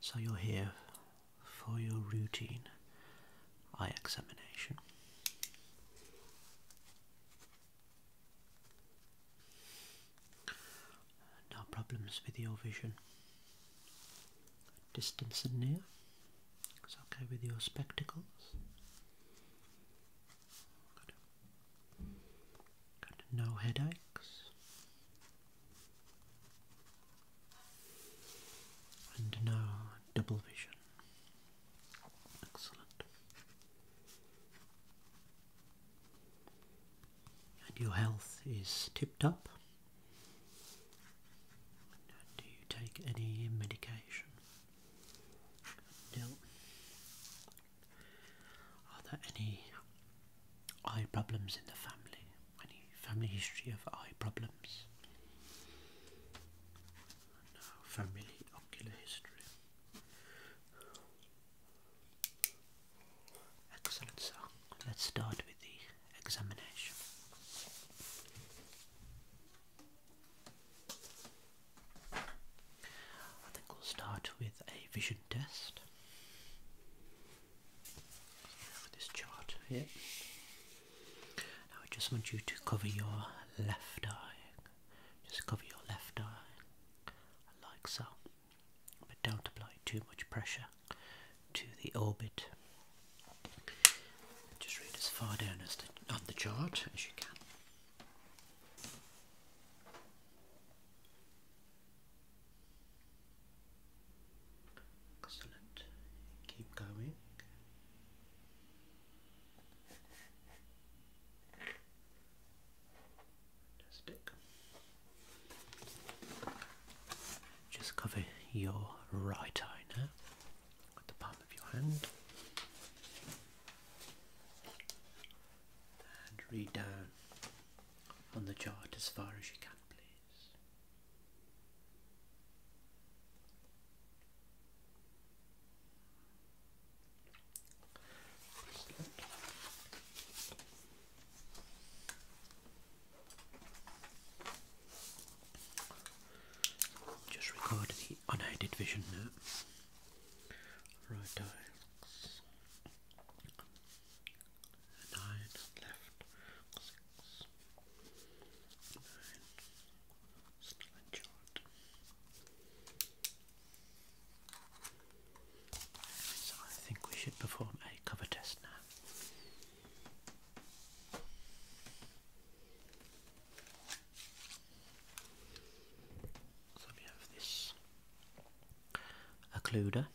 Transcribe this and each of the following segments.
So you're here for your routine eye examination. No problems with your vision. Distance and near. It's okay with your spectacles. No headaches. And now double vision. Excellent. And your health is tipped up. do you take any medication? No. Are there any eye problems in the family? Any family history of eye problems? No family ocular history. Excellent, so let's start with the examination. I think we'll start with a vision test this chart here. Now I just want you to cover your left eye. Just cover your left eye, like so. But don't apply too much pressure to the orbit. Just read as far down as the, on the chart as you can. Keep going. Just cover your right eye now with the palm of your hand. And read down on the chart as far as you can, please. Just record the unedited vision note. Right, nine left, six, nine, still in short. So I think we should perform a cover test now. So we have this occluder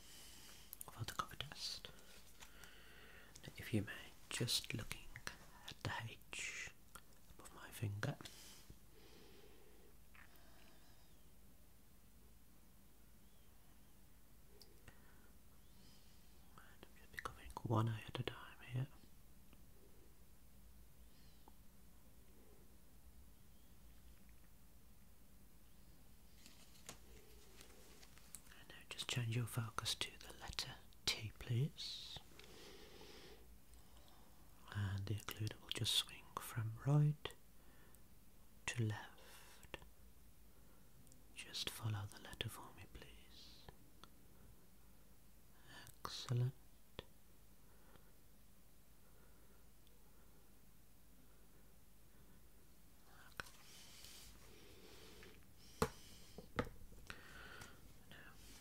cover the cover test. if you may, just looking at the H above my finger. And I'm just becoming one eye at a time here now just change your focus to the letter T, please. And the occluder will just swing from right to left. Just follow the letter for me, please. Excellent.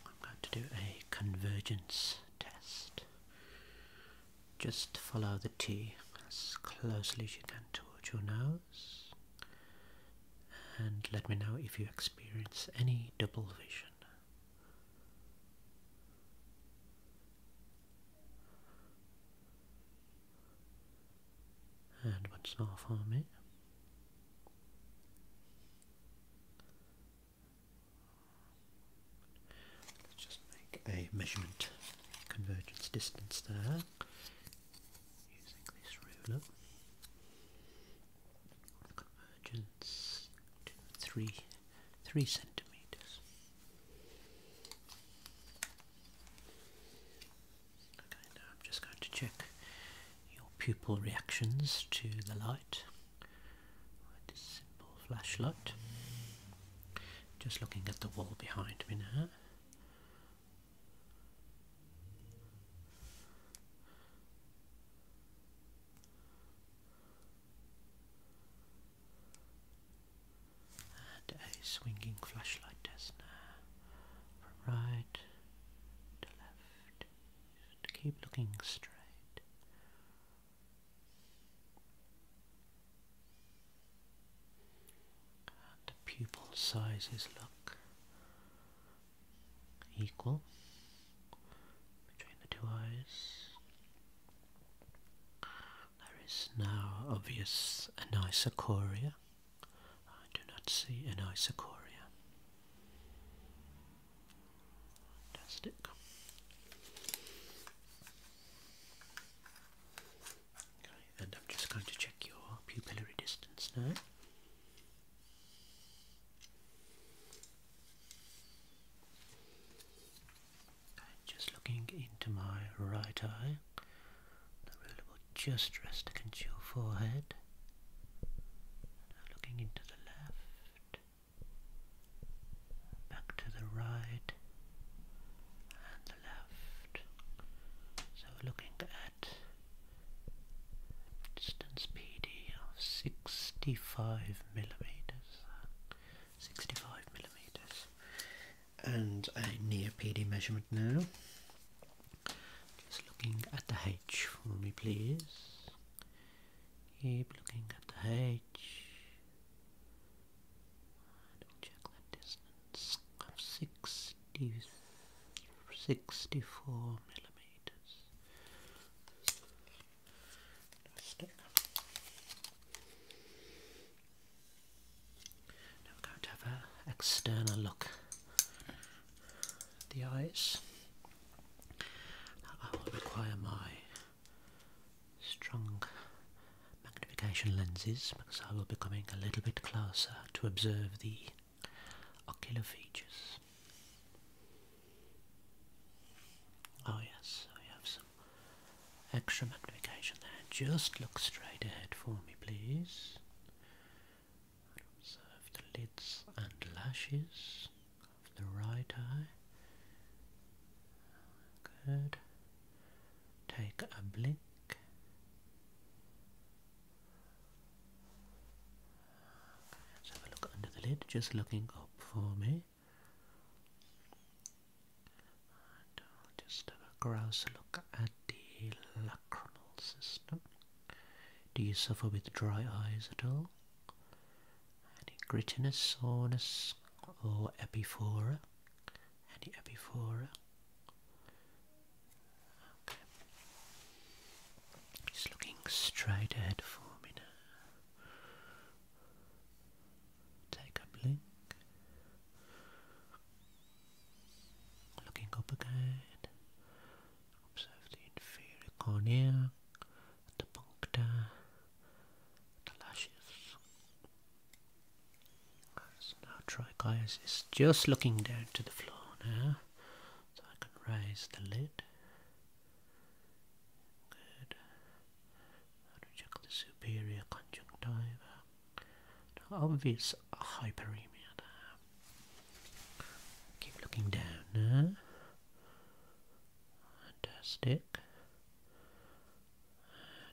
I'm going to do a convergence test. Just follow the T as closely as you can towards your nose and let me know if you experience any double vision and what's not for me? Let's just make a measurement convergence distance there using this ruler. Convergence to three three centimeters. I'm just going to check your pupil reactions to the light this simple flashlight. Just looking at the wall behind me now and a swinging flashlight test now from right to left. Just keep looking straight. And the pupil sizes look equal between the two eyes. There is now obvious anisocoria I do not see an isochoria. Fantastic. Okay, and I'm just going to check your pupillary distance now. just looking into my right eye. The ruler will just rest against your forehead. Now looking into the left, back to the right, and the left. So we're looking at distance PD of 65 millimeters. 65 millimeters and a near PD measurement now. Just looking at the H for me, please. Keep looking at the H. Double check that distance of 64 millimeters. Now we're going to have an external look the eyes. I will require my strong magnification lenses because I will be coming a little bit closer to observe the ocular features. Oh yes, I have some extra magnification there. Just look straight ahead for me, please observe the lids and lashes of the right eye. Good. Take a blink. let's have a look under the lid, just looking up for me just have a grouse look at the lacrimal system. Do you suffer with dry eyes at all? Any grittiness, soreness, or epiphora? Any epiphora? Okay. Just looking straight ahead for me now. Take a blink. Looking up again, observe the inferior cornea, the puncta, the lashes. So now trichias is just looking down to the floor now, so I can raise the lid. Good. How do check the superior conjunctiva? Now obvious hyperemia there. Keep looking down now. Fantastic.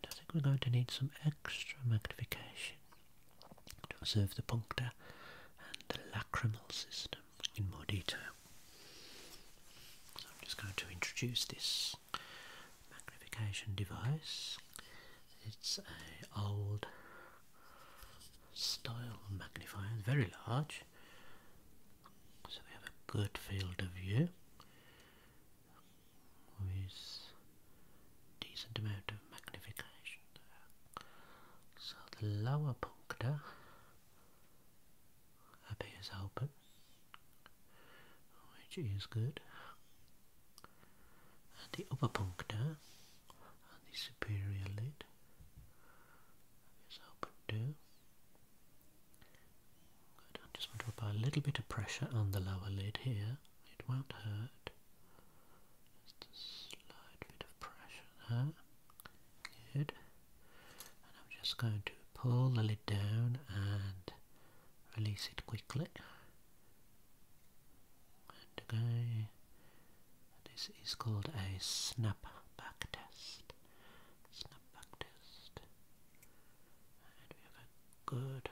I think we're going to need some extra magnification to observe the puncta and the lacrimal system in more detail. So I'm just going to introduce this magnification device. It's a old style magnifier, very large, so we have a good field of view with decent amount of magnification So the lower puncta appears open, which is good, and the upper puncta and the superior lid. Is open too. Good. I just want to apply a little bit of pressure on the lower lid here. It won't hurt. Just a slight bit of pressure there. Good. And I'm just going to pull the lid down and release it quickly. And go. This is called a snapback test. Snapback test. And we have a good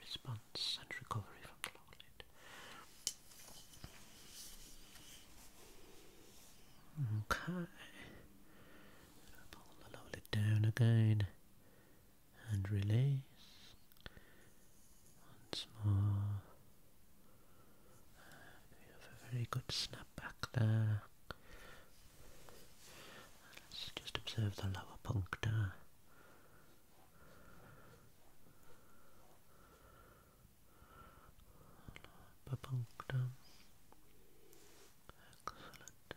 response and recovery from the lower lid. Okay. Pull the lower lid down again and release once more. We have a very good snap back there. Let's just observe the lower puncta. punctum. Excellent.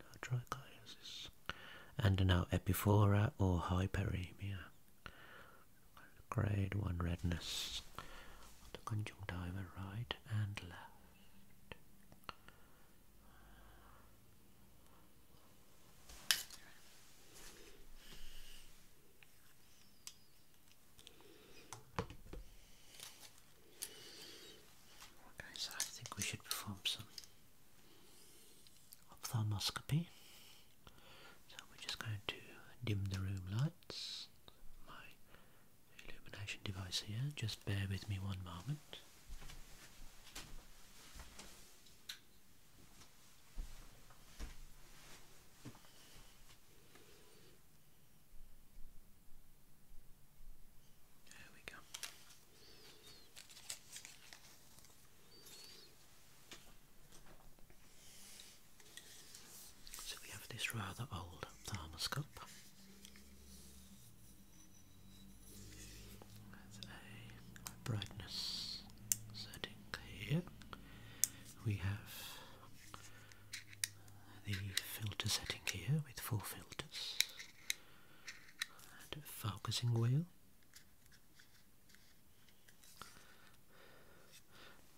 Now trichosis and now epiphora or hyperemia. Grade 1 redness on the conjunctiva right and left. Okay, so I think we should perform some ophthalmoscopy. So we're just going to dim the room lights. My illumination device here, just bear with me one moment. There we go. So we have this rather old thermoscope. a brightness setting here. We have the filter setting here with four filters and a focusing wheel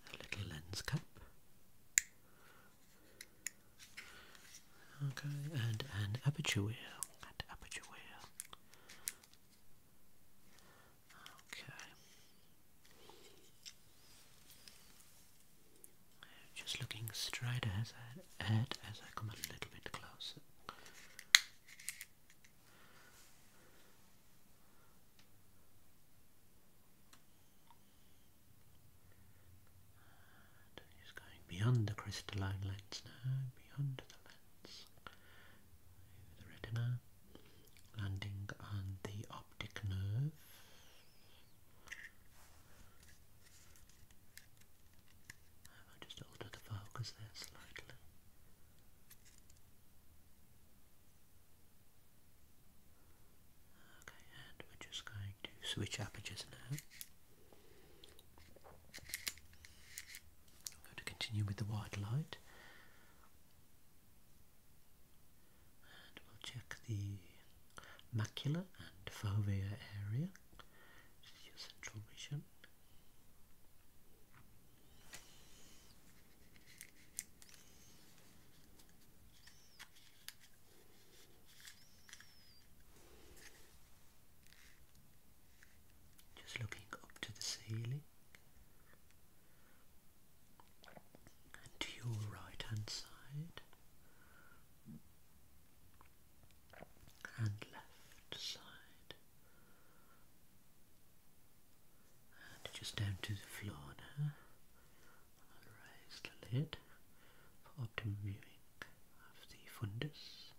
a little lens cap. Okay, and an aperture wheel, and aperture wheel. Okay. Just looking straight ahead as I come a little bit closer. And going beyond the crystalline lens now, beyond the lens, the retina, landing on the optic nerve. just alter the focus there slightly. Okay, and we're just going to switch apertures now. I'm going to continue with the white light. And we'll check the macula and fovea area. This is your central vision. Just looking up to the ceiling and to your right hand side and left side just down to the floor now. i lid for optimum viewing of the fundus.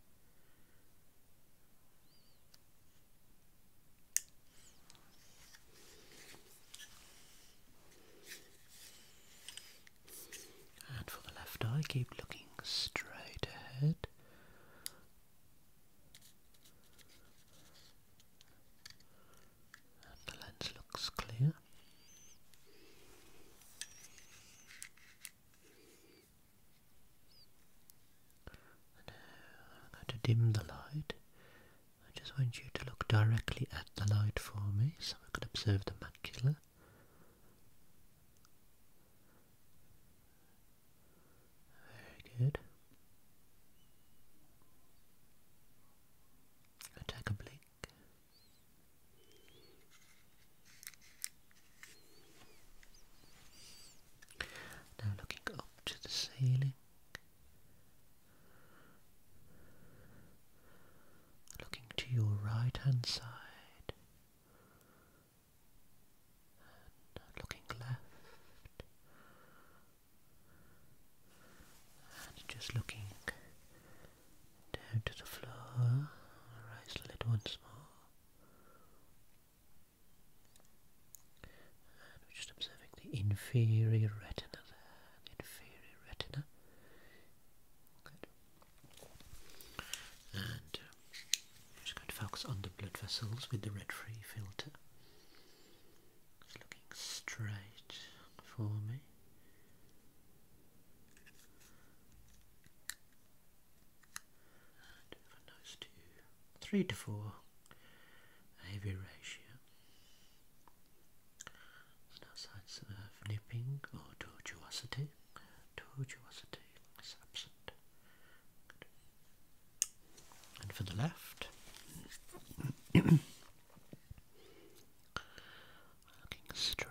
And for the left eye, keep looking straight ahead the lens looks clear. now uh, I'm going to dim the light. I just want you to look directly at the light for me so I can observe the macula. Very good. Attack a blink. Now looking up to the ceiling. Looking to your right hand side, and looking left and just looking down to the floor, raise the lid once more and we're just observing the inferior retina there, the inferior retina and I'm just going to focus on the blood vessels with the red-free filter. Just looking straight for me. And from two, three to four, a ratio. no signs of nipping or tortuosity. Tortuosity is absent and for the left. Looking straight.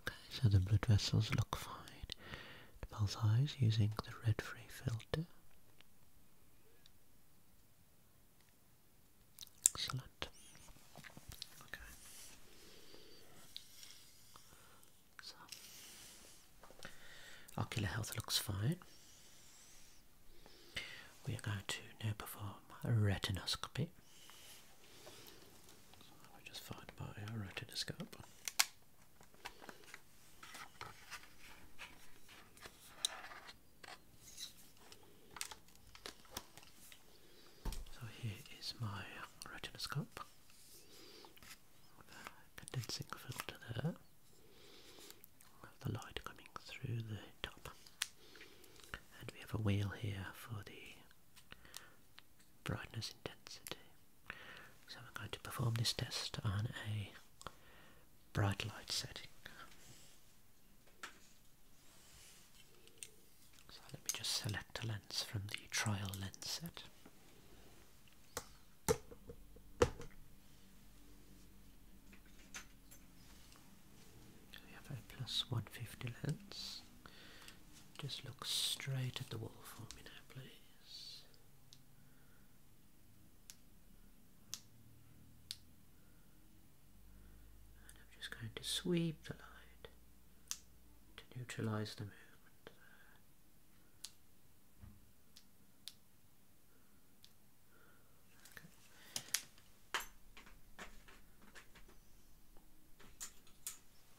Okay, so the blood vessels look fine both eyes using the red free filter. Excellent. Okay. So, ocular health looks fine. We are going to now perform a retinoscopy. So I just find retinoscope. So here is my retinoscope condensing filter there the light coming through the top and we have a wheel here for the brightness intensity. So I'm going to perform this test on a bright light setting. So let me just select a lens from the trial lens set. we have a plus 150 lens. Just look straight at the wall for me now, please. I'm just going to sweep the light to neutralize the movement there.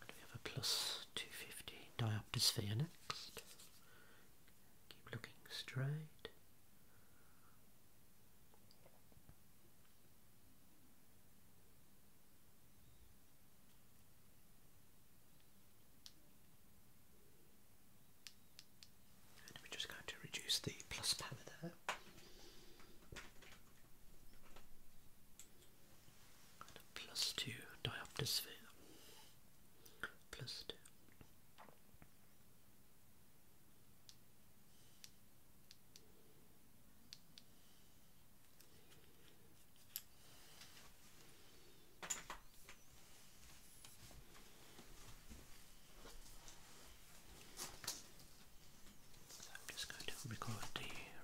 we have a plus 250 diopter sphere next. Keep looking straight. we're just going to reduce the plus power there. 2 diopter sphere. Plus 2. So I'm just going to record the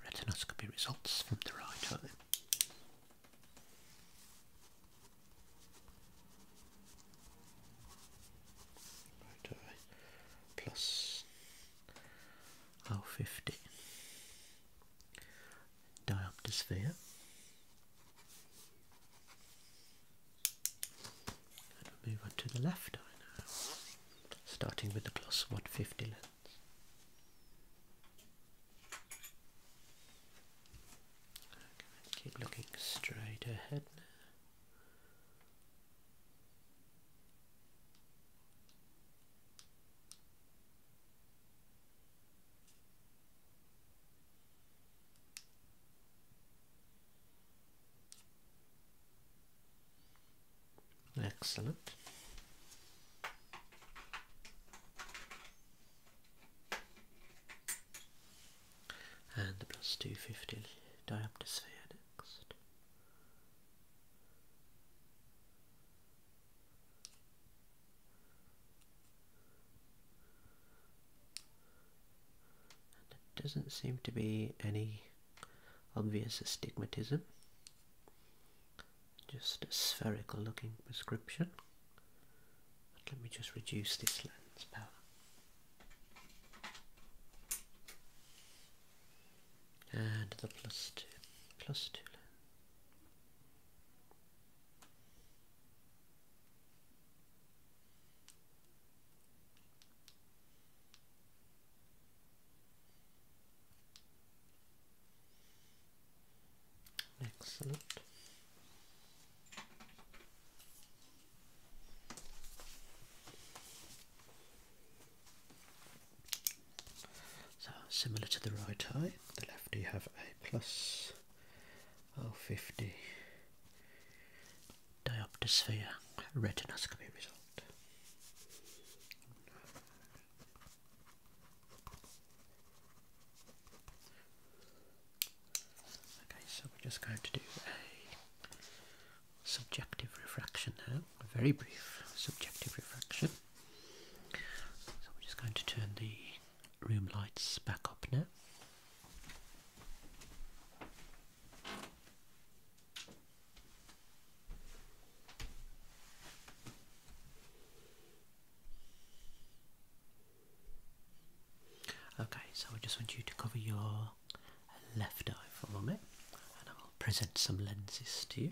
retinoscopy results from the right eye. Right away. Plus oh fifty diopter sphere. And we move on to the left eye now. Starting with the plus 150 lens keep looking straight ahead Excellent and the plus 250 dioptersphere next. And there doesn't seem to be any obvious astigmatism just a spherical looking prescription. let me just reduce this lens power. And the plus two, plus two lens. Excellent. So similar to the right eye, the left you have a plus oh, 050 diopter retinoscopy result. Okay, so we're just going to do a subjective refraction now, a very brief subjective refraction. So we're just going to turn the room lights back up now. Okay, so I just want you to cover your left eye for a moment, and I will present some lenses to you.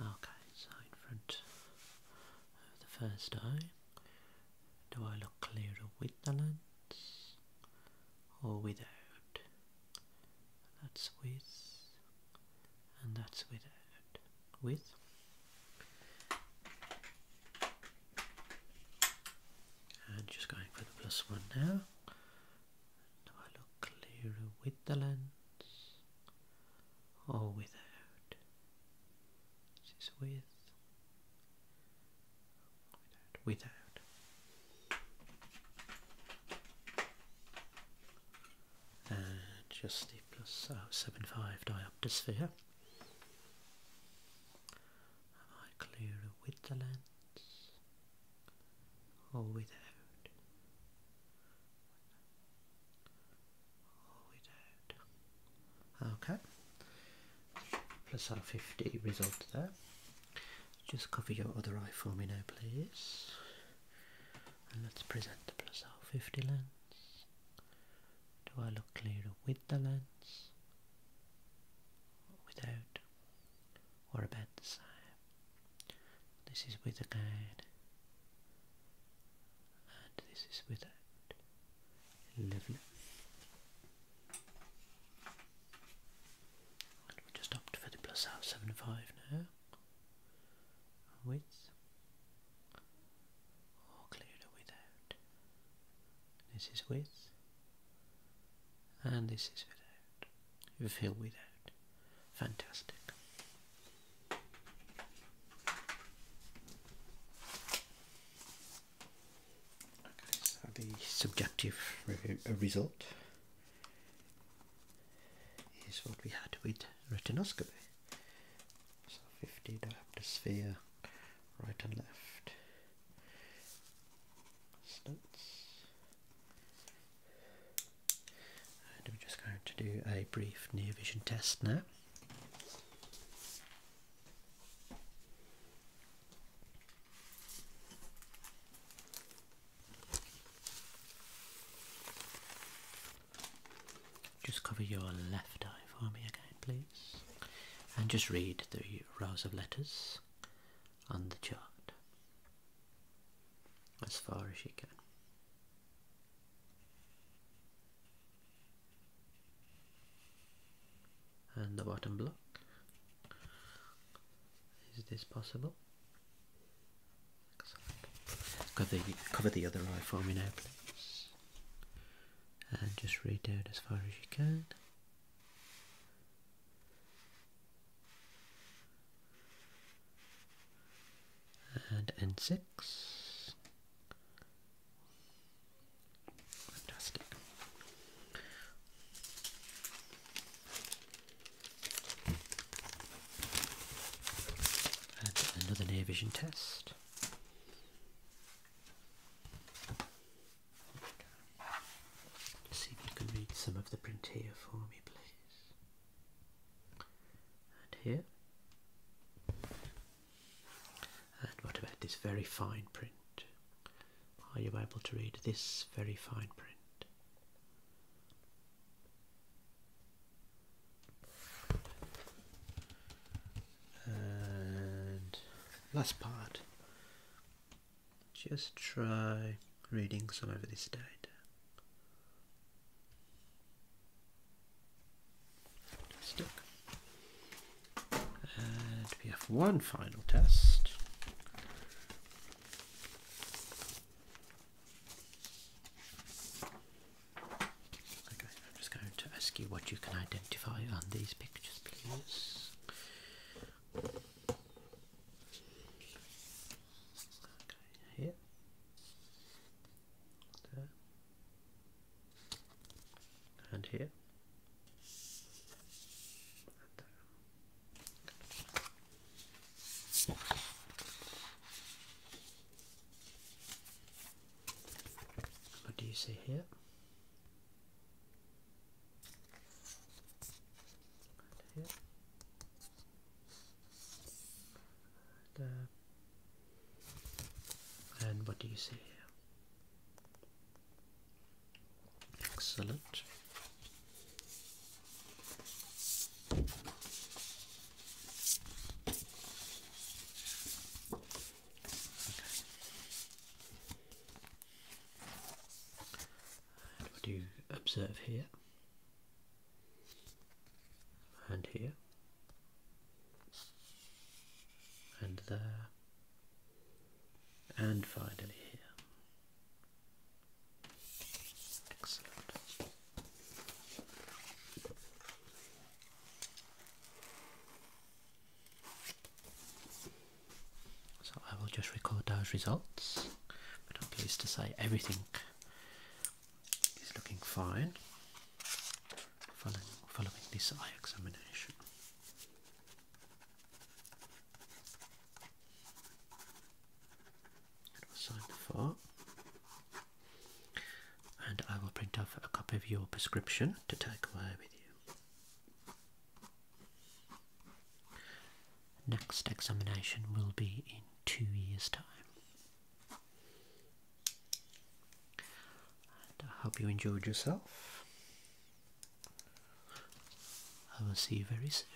Okay, so in front of the first eye, do I look clearer with the lens or without? that's with and that's without with and just going for the plus one now now I look clearer with the lens or without this is with without without and just the plus oh, 75 diopter sphere. Am I clearer with the lens or without? Okay. Plus R50 result there. Just cover your other eye for me now, please. And let's present the plus R50 lens. Do I look clearer with the lens? Without? Or about the same? This is with again. And this is without. Lovely just opt for the plus out 75 now. Width. or cleared without. This is width. and this is without. feel without. Fantastic. Okay, so the subjective uh, result is what we had with retinoscopy. So 50 diopter sphere, right and left. Slits. And I'm just going to do a brief near vision test now. Just cover your left eye for me again, please. And just read the rows of letters on the chart as far as you can. And the bottom block. Is this possible? Cover the, other eye for me now, please. And just read out as far as you can. And N6. Fantastic another near vision test. see if you can read some of the print here for me, please. And here. And what about this very fine print? Are you able to read this very fine print? And last part, just try reading some of this data. Stick. And we have one final test. Okay, I'm just going to ask you what you can identify on these pictures, please. Okay, here. There. And here. What do you see here? and what do you see here? Excellent what do you observe here? And here? And there? And finally here. So I will just record those results, but I'm pleased to say everything is looking fine following this eye examination and will sign the form. And I will print off a copy of your prescription to take away with you. Next examination will be in two years' time. I hope you enjoyed yourself. I will see you very soon.